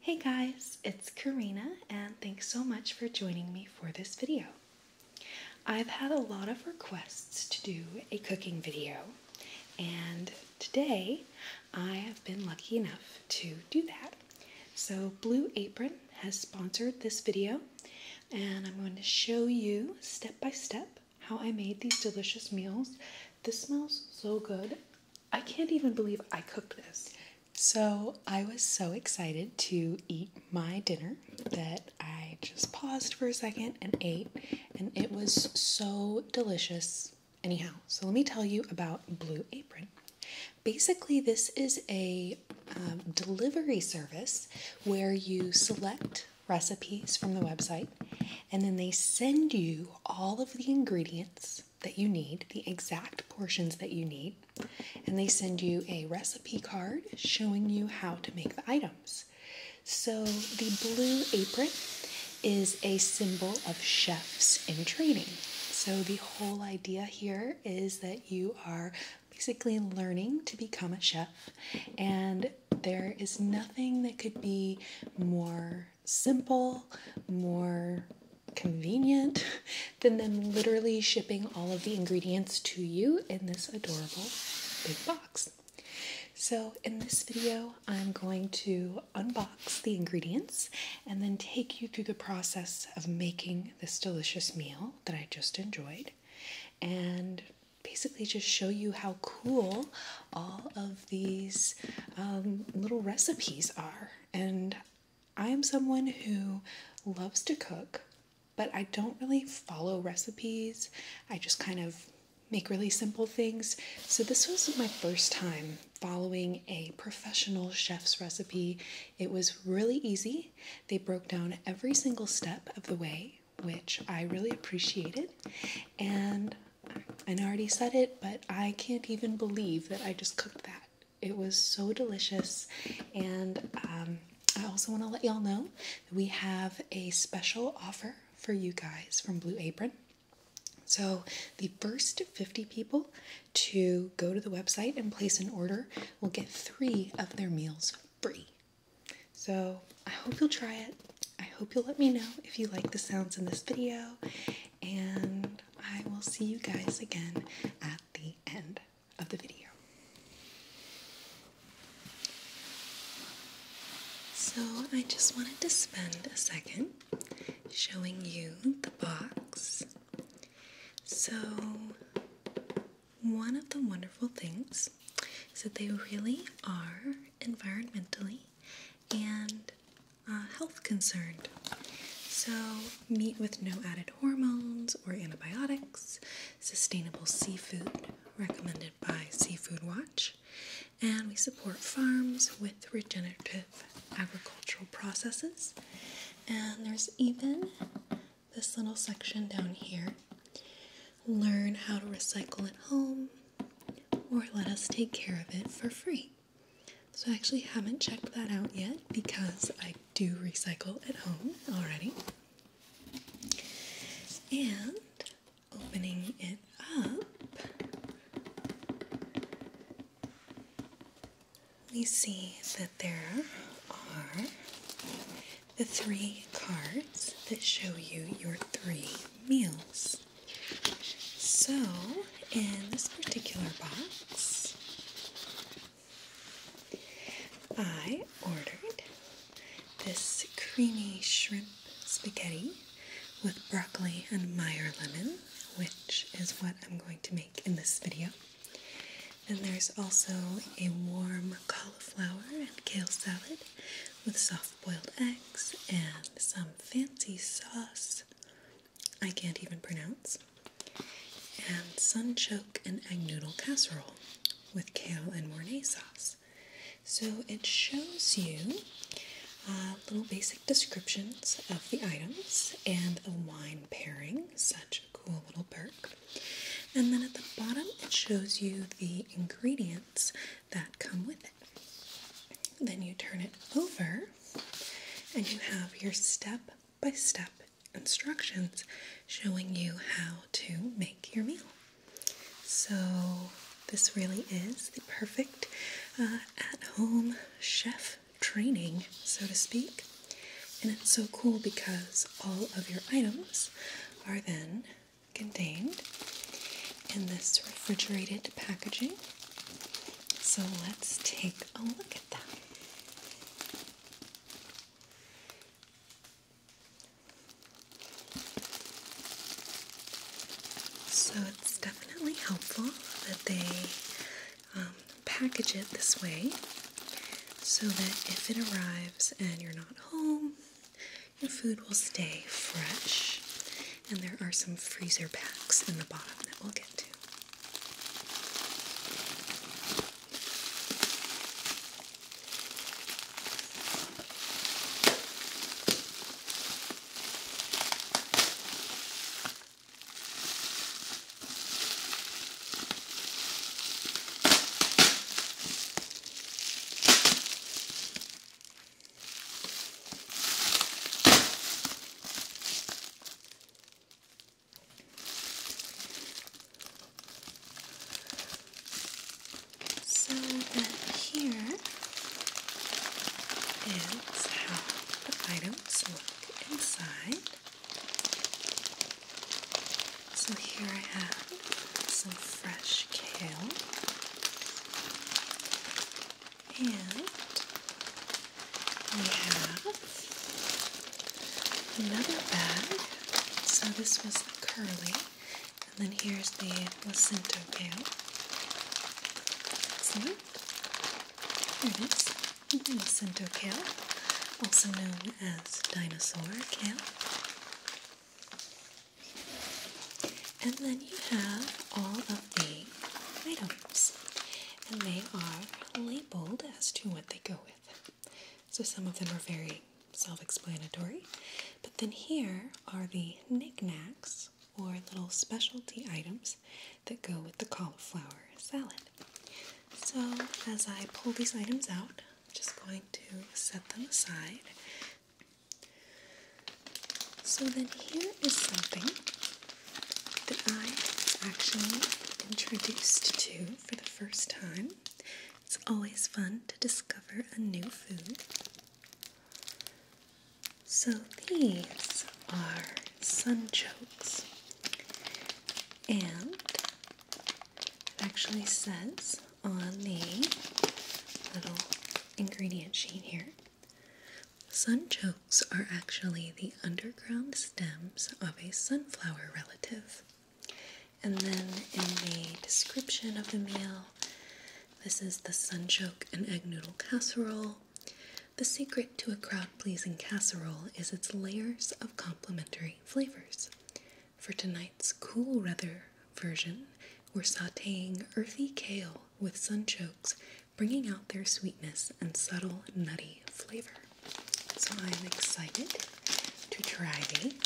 Hey guys, it's Karina and thanks so much for joining me for this video. I've had a lot of requests to do a cooking video and today I have been lucky enough to do that. So Blue Apron has sponsored this video and I'm going to show you step by step how I made these delicious meals. This smells so good. I can't even believe I cooked this. So I was so excited to eat my dinner that I just paused for a second and ate, and it was so delicious. Anyhow, so let me tell you about Blue Apron. Basically, this is a um, delivery service where you select recipes from the website and then they send you all of the ingredients that you need, the exact portions that you need, and they send you a recipe card showing you how to make the items. So, the blue apron is a symbol of chefs in training. So, the whole idea here is that you are basically learning to become a chef, and there is nothing that could be more simple, more convenient than them literally shipping all of the ingredients to you in this adorable big box. So, in this video, I'm going to unbox the ingredients and then take you through the process of making this delicious meal that I just enjoyed and basically just show you how cool all of these um, little recipes are. And I am someone who loves to cook, but I don't really follow recipes. I just kind of make really simple things. So this was my first time following a professional chef's recipe. It was really easy. They broke down every single step of the way, which I really appreciated. And I already said it, but I can't even believe that I just cooked that. It was so delicious, and um, I also want to let y'all know that we have a special offer for you guys from Blue Apron. So, the first 50 people to go to the website and place an order will get three of their meals free. So, I hope you'll try it. I hope you'll let me know if you like the sounds in this video, and I will see you guys again at the end of the video. So, I just wanted to spend a second showing you the box. So, one of the wonderful things is that they really are environmentally and uh, health concerned. So, meat with no added hormones or antibiotics, sustainable seafood recommended by Seafood Watch, and we support farms with regenerative agricultural processes. And there's even this little section down here learn how to recycle at home or let us take care of it for free. So I actually haven't checked that out yet because I do recycle at home already. And opening it up, we see that there are the three cards that show you your three meals. So, in this particular box, I ordered this creamy shrimp spaghetti with broccoli and Meyer lemon which is what I'm going to make in this video. And there's also a warm cauliflower and kale salad with soft boiled eggs and some fancy sauce I can't even pronounce, and sunchoke and egg noodle casserole with kale and Mornay sauce. So it shows you uh, little basic descriptions of the items and the wine pairing. Such a cool little perk. And then at the bottom, it shows you the ingredients that come with it. Then you turn it over, and you have your step by step instructions showing you how to make your meal. So, this really is the perfect uh, at home chef training, so to speak. And it's so cool because all of your items are then contained in this refrigerated packaging. So let's take a look at that. So it's definitely helpful that they um, package it this way so that if it arrives and you're not home, your food will stay fresh. And there are some freezer packs in the bottom that we'll get to. So that here is how the item let's look inside. So here I have some fresh kale and we have another bag. So this was the curly and then here's the Jacinto kale. Excellent. There it is. Jacinto kale, also known as dinosaur kale. And then you have all of the items, and they are labeled as to what they go with. So some of them are very self explanatory, but then here are the knickknacks or little specialty items that go with the cauliflower salad. So, as I pull these items out, I'm just going to set them aside. So, then here is something that I was actually introduced to for the first time. It's always fun to discover a new food. So these are sunchokes, and actually says on the little ingredient sheet here sunchokes are actually the underground stems of a sunflower relative. And then in the description of the meal, this is the sunchoke and egg noodle casserole the secret to a crowd pleasing casserole is its layers of complementary flavors. For tonight's cool weather version, we're sauteing earthy kale with sunchokes, bringing out their sweetness and subtle nutty flavor. So I'm excited to try these.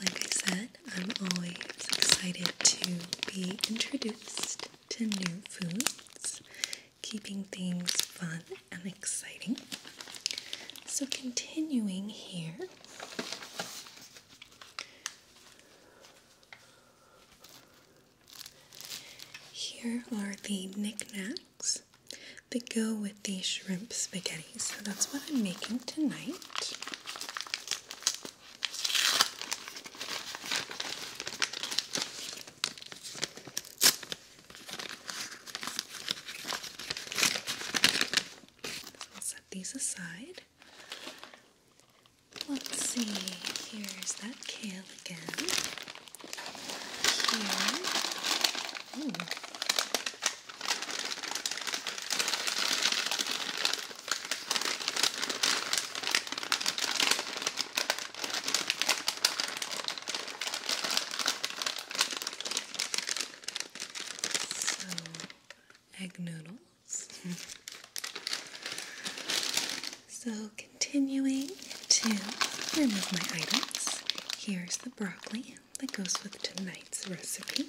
Like I said, I'm always excited to be introduced to new foods, keeping things fun and exciting. So, continuing here. Here are the knickknacks that go with the shrimp spaghetti. So that's what I'm making tonight. I'll set these aside. Let's see, here's that kale again. Here. Ooh. So, egg noodles. so, continuing to remove my items, here's the broccoli that goes with tonight's recipe.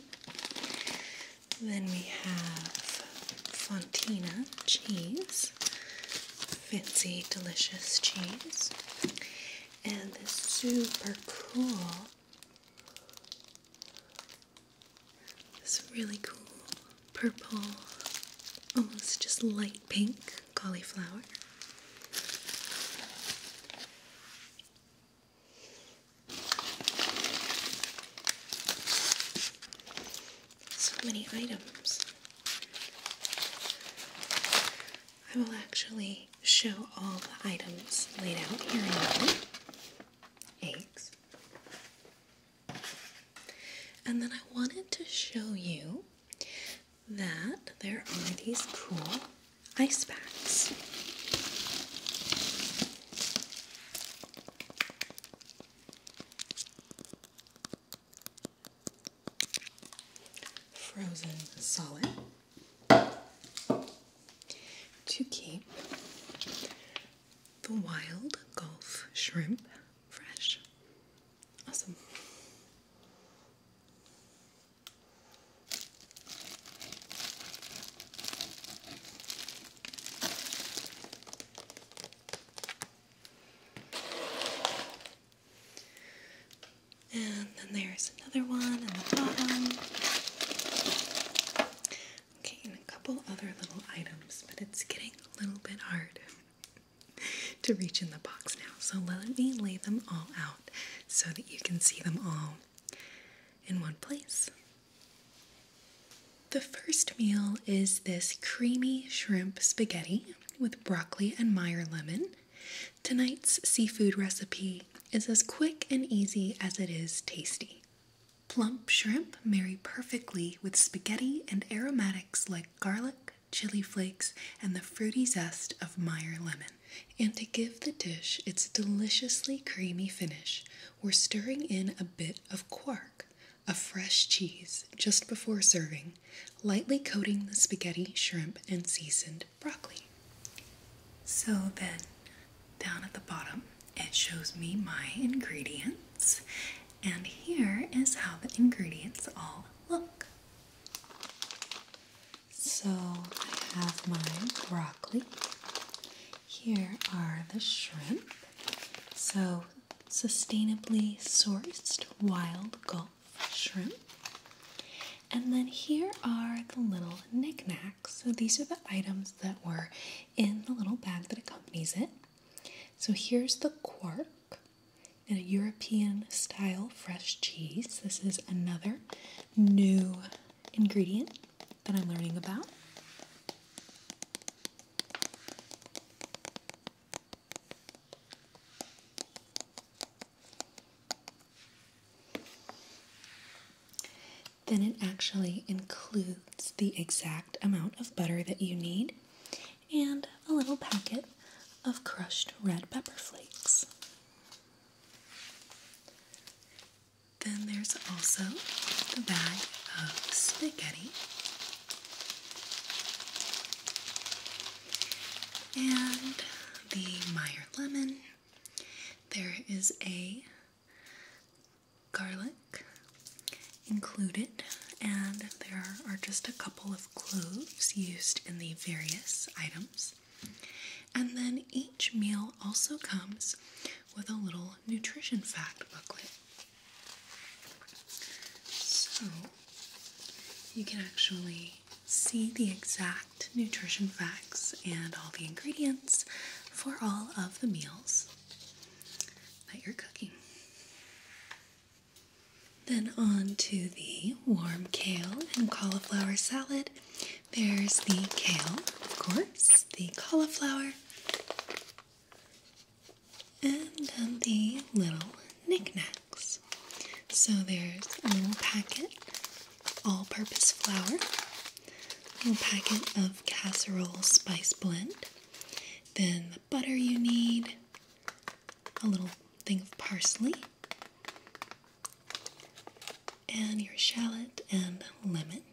Then we have Fontina cheese, fancy, delicious cheese, and this super cool, this really cool purple, almost just light pink cauliflower. So many items. I will actually show all the items laid out here Eggs. And then I wanted to show you that there are these cool ice packs frozen solid to keep the wild Gulf shrimp fresh. Awesome. And then there's another one in the bottom. Okay, and a couple other little items, but it's getting a little bit hard to reach in the box now. So let me lay them all out so that you can see them all in one place. The first meal is this creamy shrimp spaghetti with broccoli and Meyer lemon. Tonight's seafood recipe is as quick and easy as it is tasty. Plump shrimp marry perfectly with spaghetti and aromatics like garlic, chili flakes, and the fruity zest of Meyer lemon. And to give the dish its deliciously creamy finish, we're stirring in a bit of quark, a fresh cheese, just before serving, lightly coating the spaghetti, shrimp, and seasoned broccoli. So then, down at the bottom, it shows me my ingredients, and here is how the ingredients all look. So I have my broccoli. Here are the shrimp. So, sustainably sourced wild Gulf shrimp. And then here are the little knickknacks. So, these are the items that were in the little bag that accompanies it. So, here's the quark. And a European style fresh cheese. This is another new ingredient that I'm learning about. Then it actually includes the exact amount of butter that you need and a little packet of crushed red pepper flakes. Then there's also the bag of spaghetti. And the Meyer lemon. There is a garlic included, and there are just a couple of cloves used in the various items. And then each meal also comes with a little nutrition fact booklet. So you can actually see the exact nutrition facts and all the ingredients for all of the meals that you're cooking. Then on to the warm kale and cauliflower salad. There's the kale, of course, the cauliflower, and then the little knickknacks. So there's a little packet all purpose flour, a little packet of casserole spice blend, then the butter you need, a little thing of parsley, and your shallot and lemon.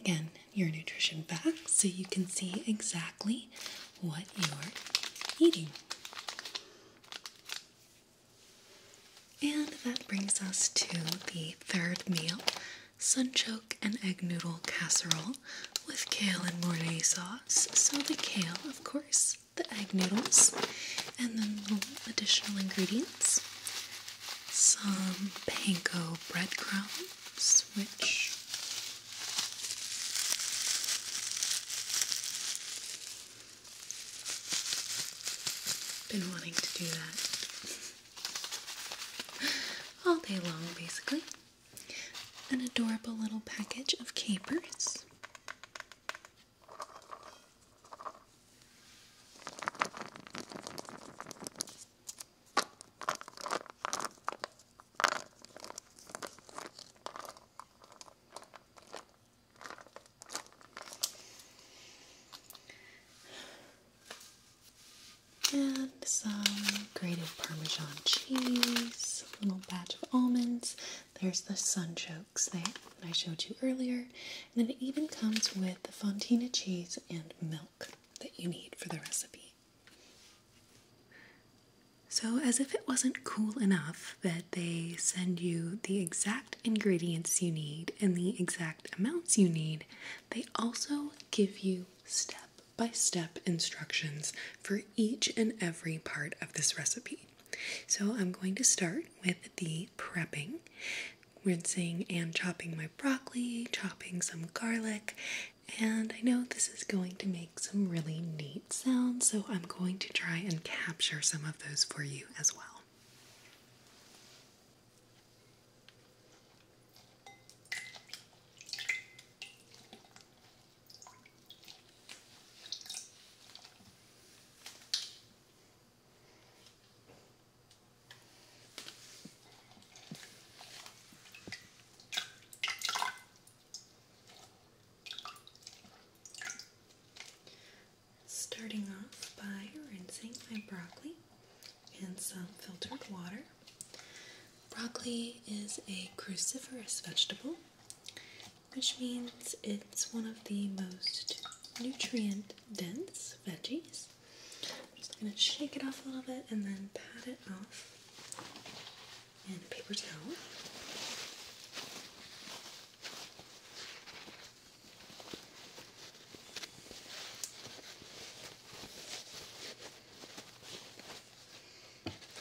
Again, your nutrition facts, so you can see exactly what you're eating. And that brings us to the third meal sunchoke and egg noodle casserole with kale and mornay sauce. So, the kale, of course, the egg noodles, and then the additional ingredients some panko breadcrumbs, which been wanting to do that all day long, basically. An adorable little package of capers. And some grated Parmesan cheese, a little batch of almonds. There's the sunchokes that I showed you earlier. And then it even comes with the fontina cheese and milk that you need for the recipe. So, as if it wasn't cool enough that they send you the exact ingredients you need and the exact amounts you need, they also give you step by step instructions for each and every part of this recipe. So, I'm going to start with the prepping rinsing and chopping my broccoli, chopping some garlic, and I know this is going to make some really neat sounds, so I'm going to try and capture some of those for you as well. Starting off by rinsing my broccoli in some filtered water. Broccoli is a cruciferous vegetable, which means it's one of the most nutrient dense veggies. I'm just going to shake it off a little bit and then pat it off in a paper towel.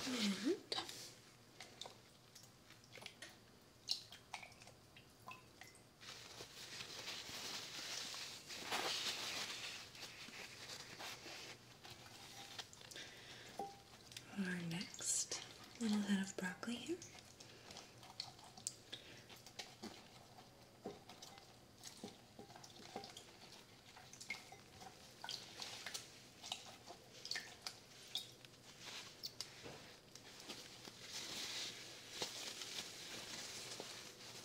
And our next little head of broccoli here.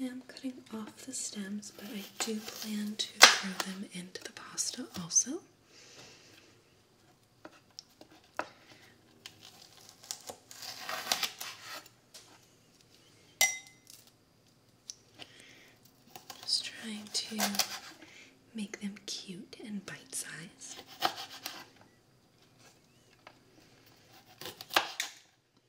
I am cutting off the stems, but I do plan to throw them into the pasta also. Just trying to make them cute and bite sized.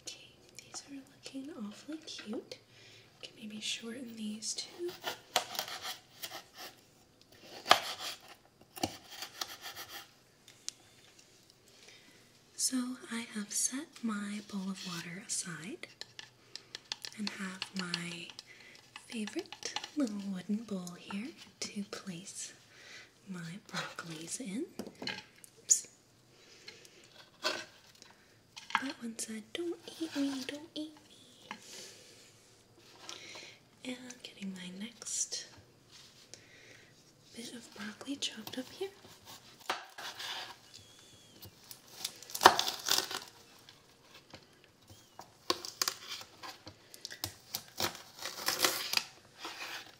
Okay, these are looking awfully cute. Can maybe shorten these too. So I have set my bowl of water aside and have my favorite little wooden bowl here to place my broccoli's in. That one said, Don't eat me, don't eat me. And I'm getting my next bit of broccoli chopped up here.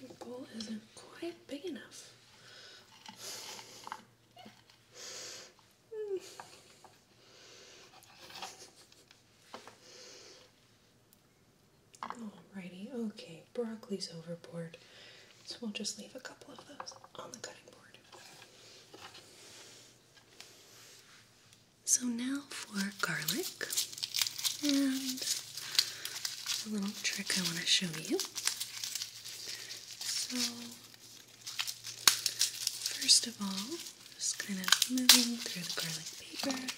My bowl isn't quite big enough. Alrighty, okay, broccoli's overboard, so we'll just leave a couple of those on the cutting board. So now for garlic, and a little trick I want to show you. So, first of all, just kind of moving through the garlic paper.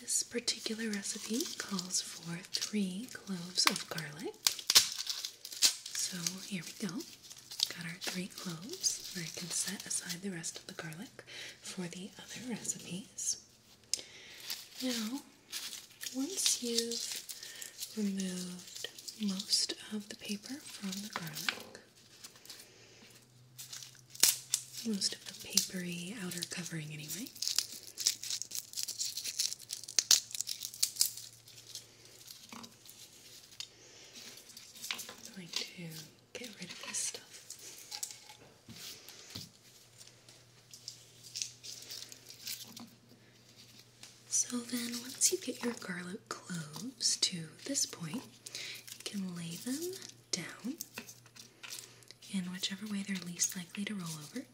This particular recipe calls for three cloves of garlic. So, here we go. Got our three cloves, and I can set aside the rest of the garlic for the other recipes. Now, once you've removed most of the paper from the garlic, most of the papery outer covering, anyway going to get rid of this stuff. So then, once you get your garlic cloves to this point, you can lay them down in whichever way they're least likely to roll over,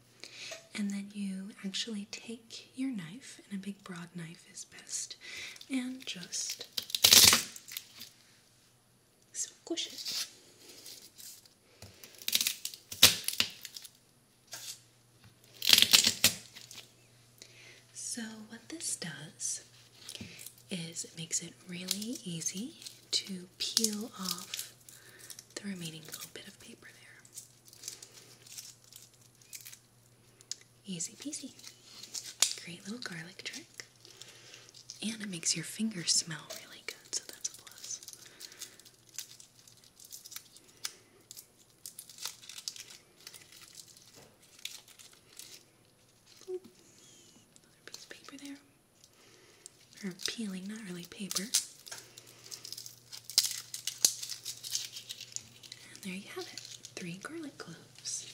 and then you actually take your knife, and a big broad knife is best, and just squish it. So, what this does is it makes it really easy to peel off the remaining little bit of paper there. Easy peasy. Great little garlic trick. And it makes your fingers smell really good, so that's a plus. another piece of paper there. Or peeling, not really paper. And there you have it three garlic cloves.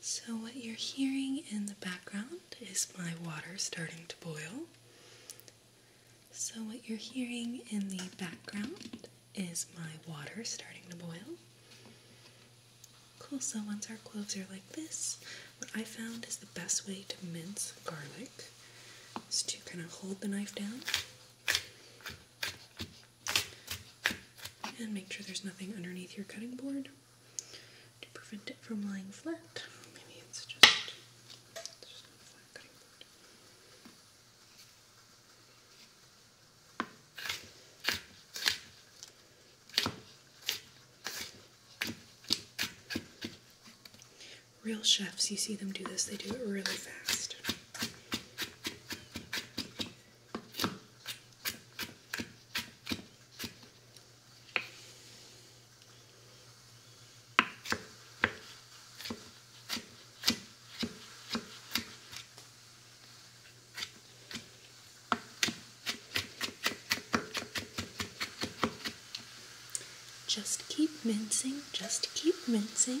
So, what you're hearing in the background is my water starting to boil. So, what you're hearing in the background is my water starting to boil. Cool, so once our cloves are like this, what I found is the best way to mince garlic is to kind of hold the knife down and make sure there's nothing underneath your cutting board to prevent it from lying flat. Real chefs, you see them do this, they do it really fast. Just keep mincing, just keep mincing.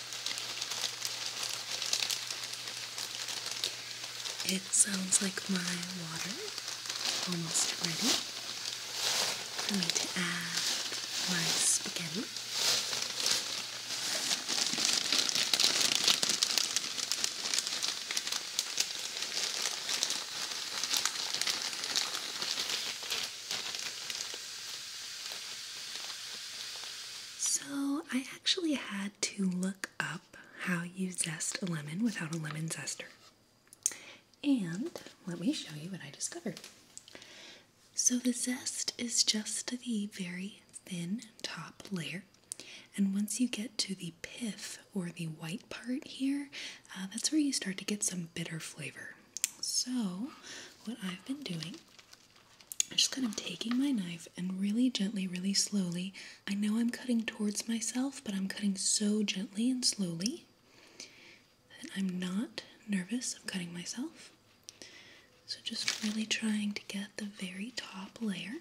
It sounds like my water almost ready for me to add my spaghetti. So, I actually had to look up how you zest a lemon without a lemon zester. And let me show you what I discovered. So, the zest is just the very thin top layer. And once you get to the pith or the white part here, uh, that's where you start to get some bitter flavor. So, what I've been doing I'm just kind of taking my knife and really gently, really slowly. I know I'm cutting towards myself, but I'm cutting so gently and slowly that I'm not nervous of cutting myself. So just really trying to get the very top layer.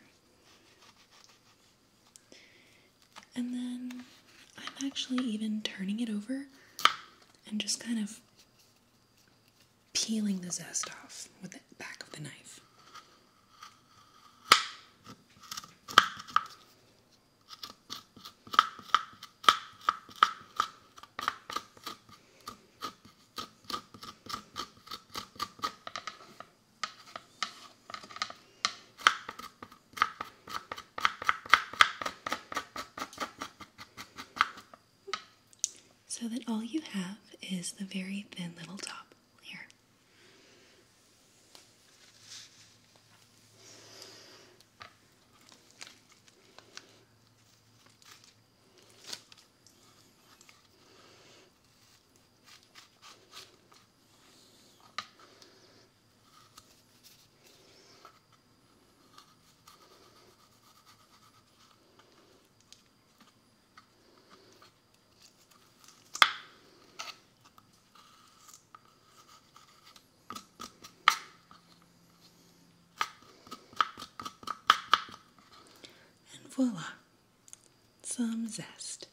And then I'm actually even turning it over and just kind of peeling the zest off with the back of the knife so that all you have is the very thin little top layer. And voila, some zest.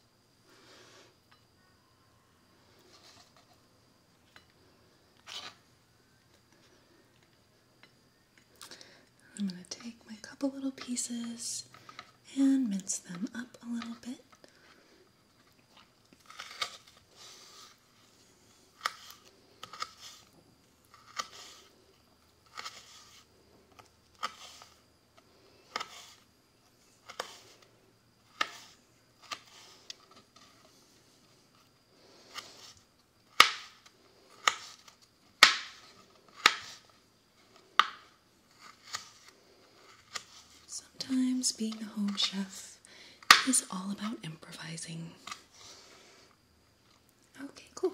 I'm going to take my couple little pieces and mince them up a little bit. Sometimes being a home chef is all about improvising. Okay, cool.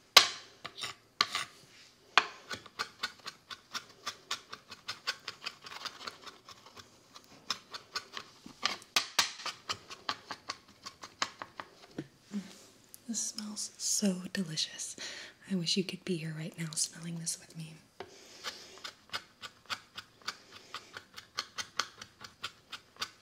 This smells so delicious. I wish you could be here right now smelling this with me.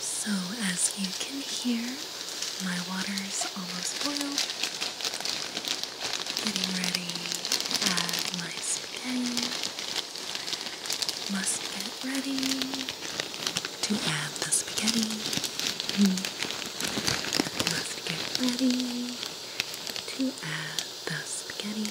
So as you can hear, my water's almost boiled. Getting ready to add my spaghetti. Must get ready to add the spaghetti. Hmm. Must get ready to add the spaghetti.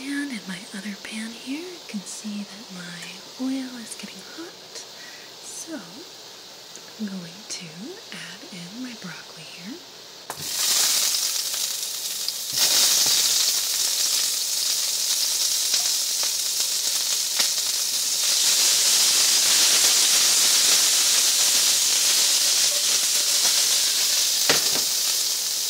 And in my other pan here, you can see that my oil is getting hot. So I'm going to add in my broccoli here.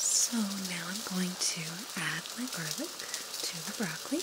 So now I'm going to add my garlic to the broccoli.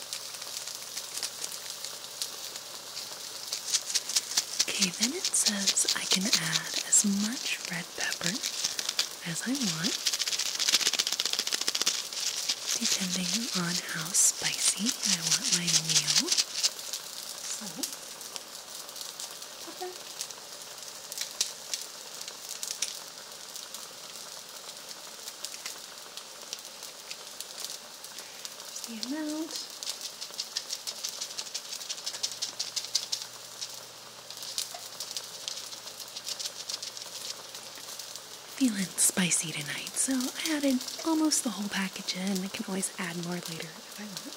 Okay, then it says I can add as much red pepper as I want, depending on how spicy I want my meal. So, pepper the amount. Feeling spicy tonight, so I added almost the whole package in. I can always add more later if I want.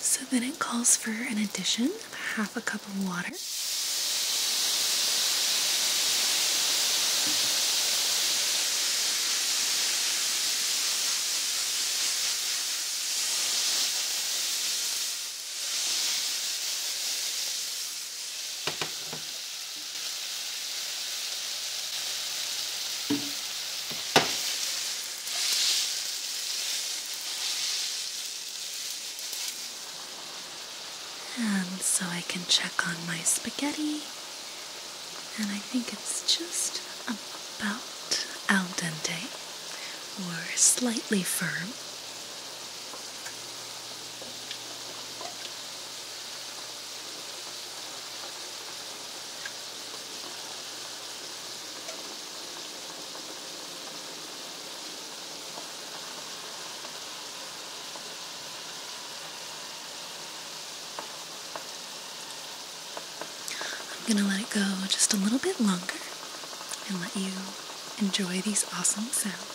So then it calls for an addition of half a cup of water. And so I can check on my spaghetti, and I think it's just about al dente or slightly firm. I'm going to let it go just a little bit longer and let you enjoy these awesome sounds.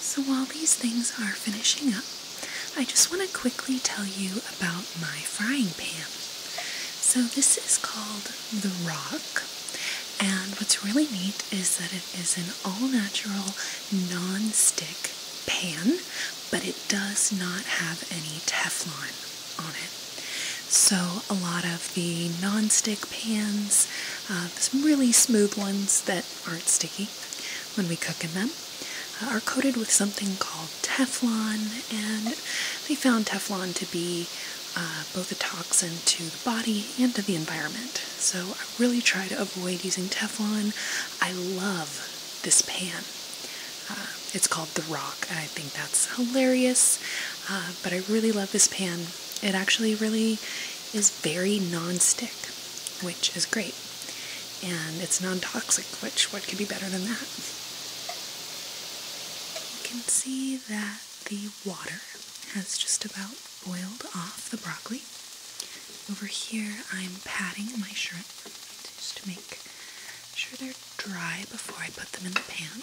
So while these things are finishing up, I just want to quickly tell you about my frying pan. So this is called the Rock. And what's really neat is that it is an all-natural non-stick pan, but it does not have any Teflon. So a lot of the non-stick pans, uh, some really smooth ones that aren't sticky when we cook in them, uh, are coated with something called Teflon, and they found Teflon to be uh, both a toxin to the body and to the environment. So I really try to avoid using Teflon. I love this pan. Uh, it's called The Rock, and I think that's hilarious. Uh, but I really love this pan. It actually really is very non-stick, which is great. And it's non-toxic, which what could be better than that? You can see that the water has just about boiled off the broccoli. Over here I'm patting my shrimp just to make sure they're dry before I put them in the pan.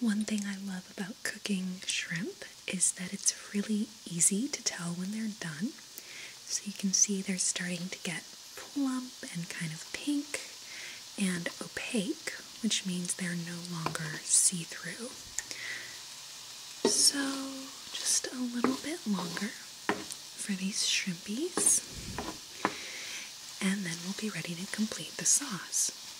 One thing I love about cooking shrimp is that it's really easy to tell when they're done. So you can see they're starting to get plump and kind of pink and opaque, which means they're no longer see-through. So just a little bit longer for these shrimpies and then we'll be ready to complete the sauce.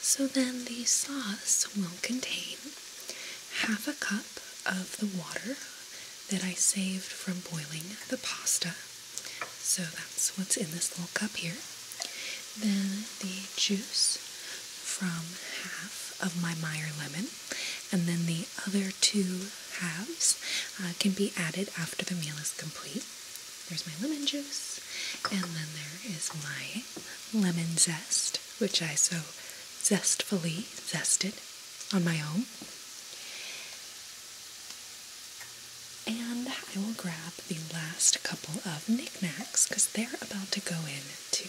so then the sauce will contain half a cup of the water that I saved from boiling the pasta. So that's what's in this little cup here. Then the juice from half of my Meyer lemon, and then the other two halves uh, can be added after the meal is complete. There's my lemon juice, and then there is my lemon zest, which I so zestfully zested on my own. And I will grab the last couple of knickknacks because they're about to go in too.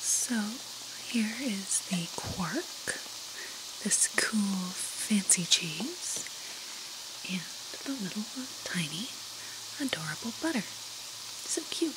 So here is the quark, this cool fancy cheese, and the little uh, tiny adorable butter. So cute.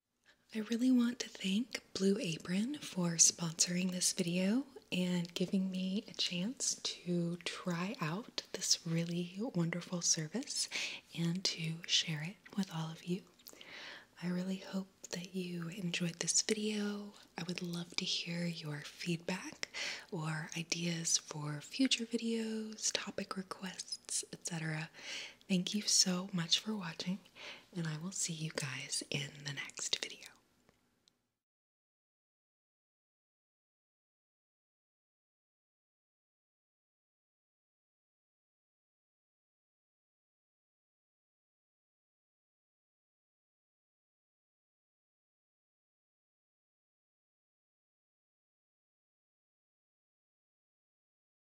I really want to thank Blue Apron for sponsoring this video and giving me a chance to try out this really wonderful service and to share it with all of you. I really hope that you enjoyed this video. I would love to hear your feedback or ideas for future videos, topic requests, etc. Thank you so much for watching, and I will see you guys in the next video.